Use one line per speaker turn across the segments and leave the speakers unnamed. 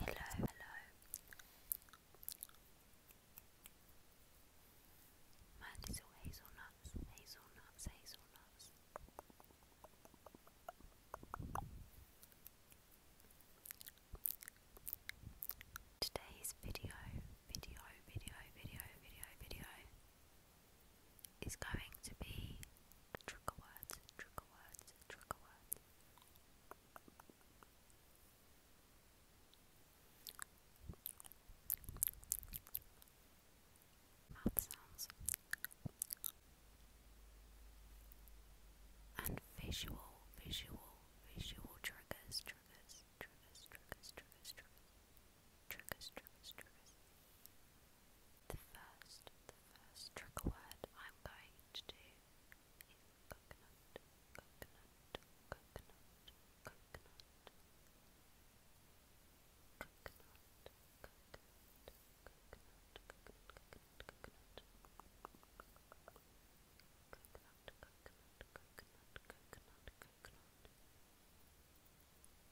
Hello, hello. Mine hazelnuts, hazelnuts, hazelnuts. Today's video, video, video, video, video, video it's going to be trigger words, trigger words, trigger words. Mouth sounds and visual, visual, visual triggers, triggers, triggers, triggers, triggers, triggers triggers, triggers, triggers. The first, the first trigger word I'm going to do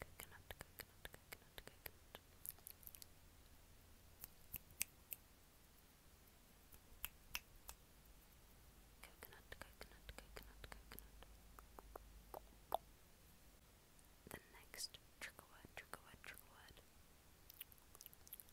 Coconut, coconut, The next trigger word, trigger word, trigger word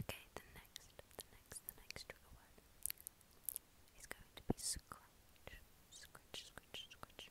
Okay, the next, the next, the next word is going to be scratch, scratch, scratch, scratch.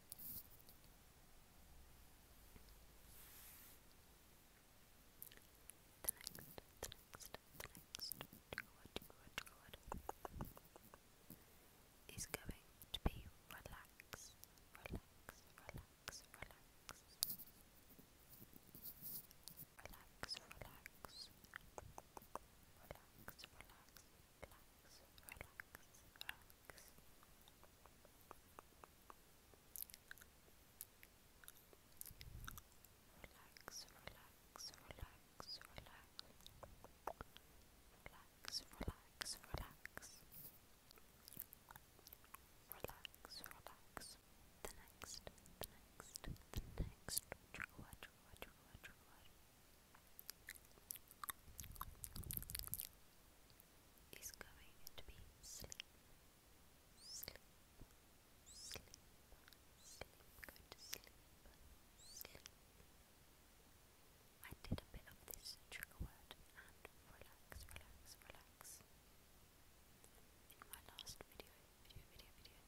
The next, the next, the next word is going to be relax, relax, relax, relax. Relax, relax. Relax, relax relax, relax. Relax, relax, relax, relax. Relax, relax, relax. Relax, The next, the next, the next trigger word, trigger word, is going to be sleep, sleep, sleep, sleep, go to sleep, I did a bit of this trigger word and relax, relax, relax in my last video, video, video, video,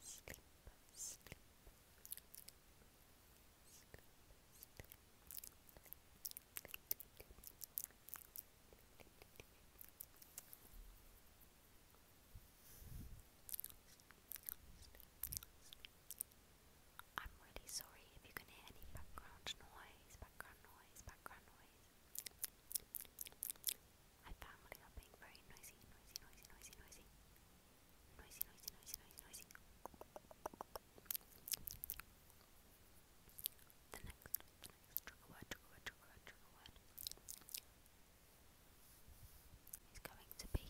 sleep, I'm really sorry if you can hear any background noise, background noise, background noise my family are being very noisy, noisy, noisy, noisy, noisy. Noisy, noisy, noisy, noisy, noisy. The next, the next trigger word, trigger word, trigger word, trigger word is going to be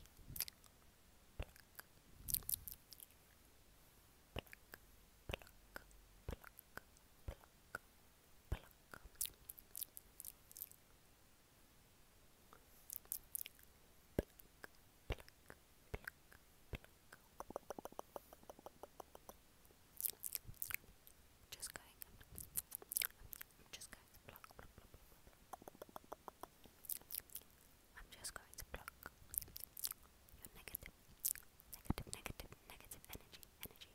pluck, pluck, pluck, pluck, pluck, pluck. Just going. I'm just going to pluck. I'm just going to pluck your negative, negative, negative, negative energy, energy.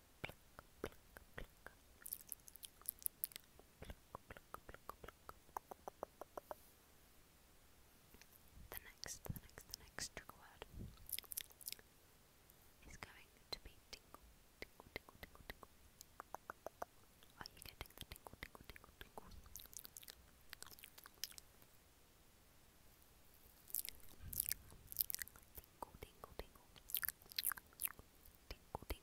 The next, the next, the next word is going to be Are you getting Tingle, you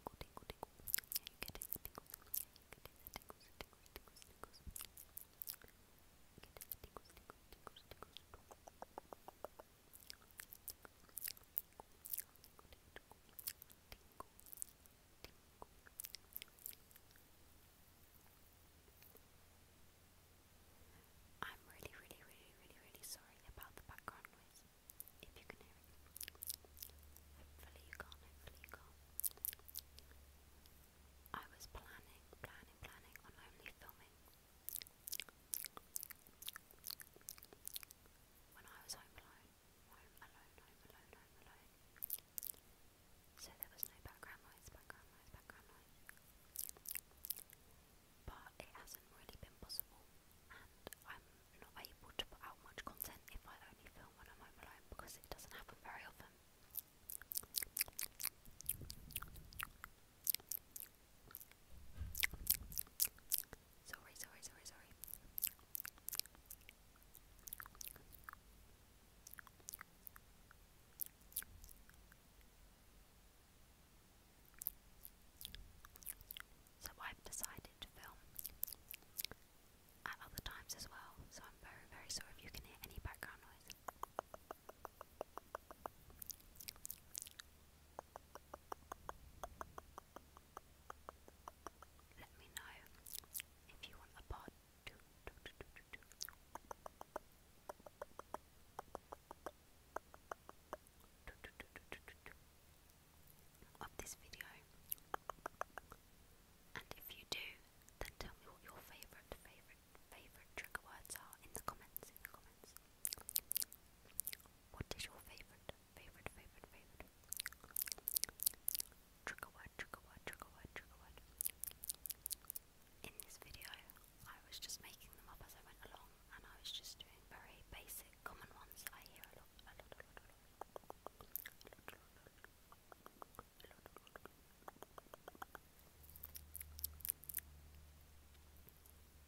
I'm really, really, really, really, really sorry about the background noise if you I was planning, planning, planning on only filming when I was home alone, home alone, home alone, home alone. So there was no background noise, background noise, background noise but it hasn't really been possible, and I'm not able to put out much content if I only film when I'm home alone because it doesn't happen very often. Sorry, sorry, sorry, sorry. So I've decided to film at other times as well, so I'm very, very sorry if you can hear any background noise. Let me know if you want a part of this video. And if you do, then tell me what your favourite, favourite, favourite trigger words are in the comments. What is your favourite, favourite, favourite, favourite trigger word, trigger word, trigger word, trigger word in this video? I was just making them up as I went along, and I was just doing very basic, common ones that I hear a lot, a lot, a lot, a lot.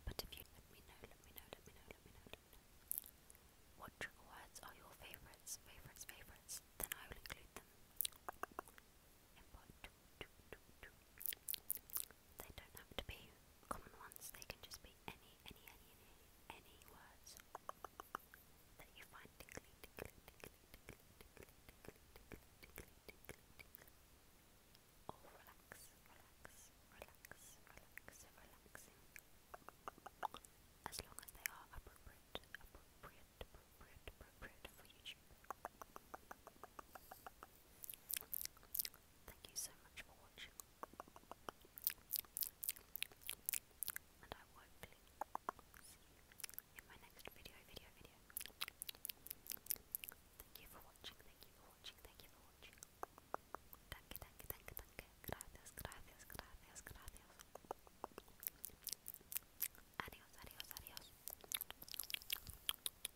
But if you let me know, let me know, let me know, let me know, let me know. What trigger words are your favourites, favourites, favourites? Then I will include them they don't have to be common ones, they can just be any, any, any, any, words that you find relax, relax, relax, relax, As long as they are appropriate, appropriate, appropriate, appropriate for YouTube. Thank you so much for watching. And I will hopefully see in my next video, video, video. Thank you for watching, thank you for watching, thank you for watching. Danke, danke, danke, danke. Gracias, gracias, gracias, gracias. Adios, adios, adios.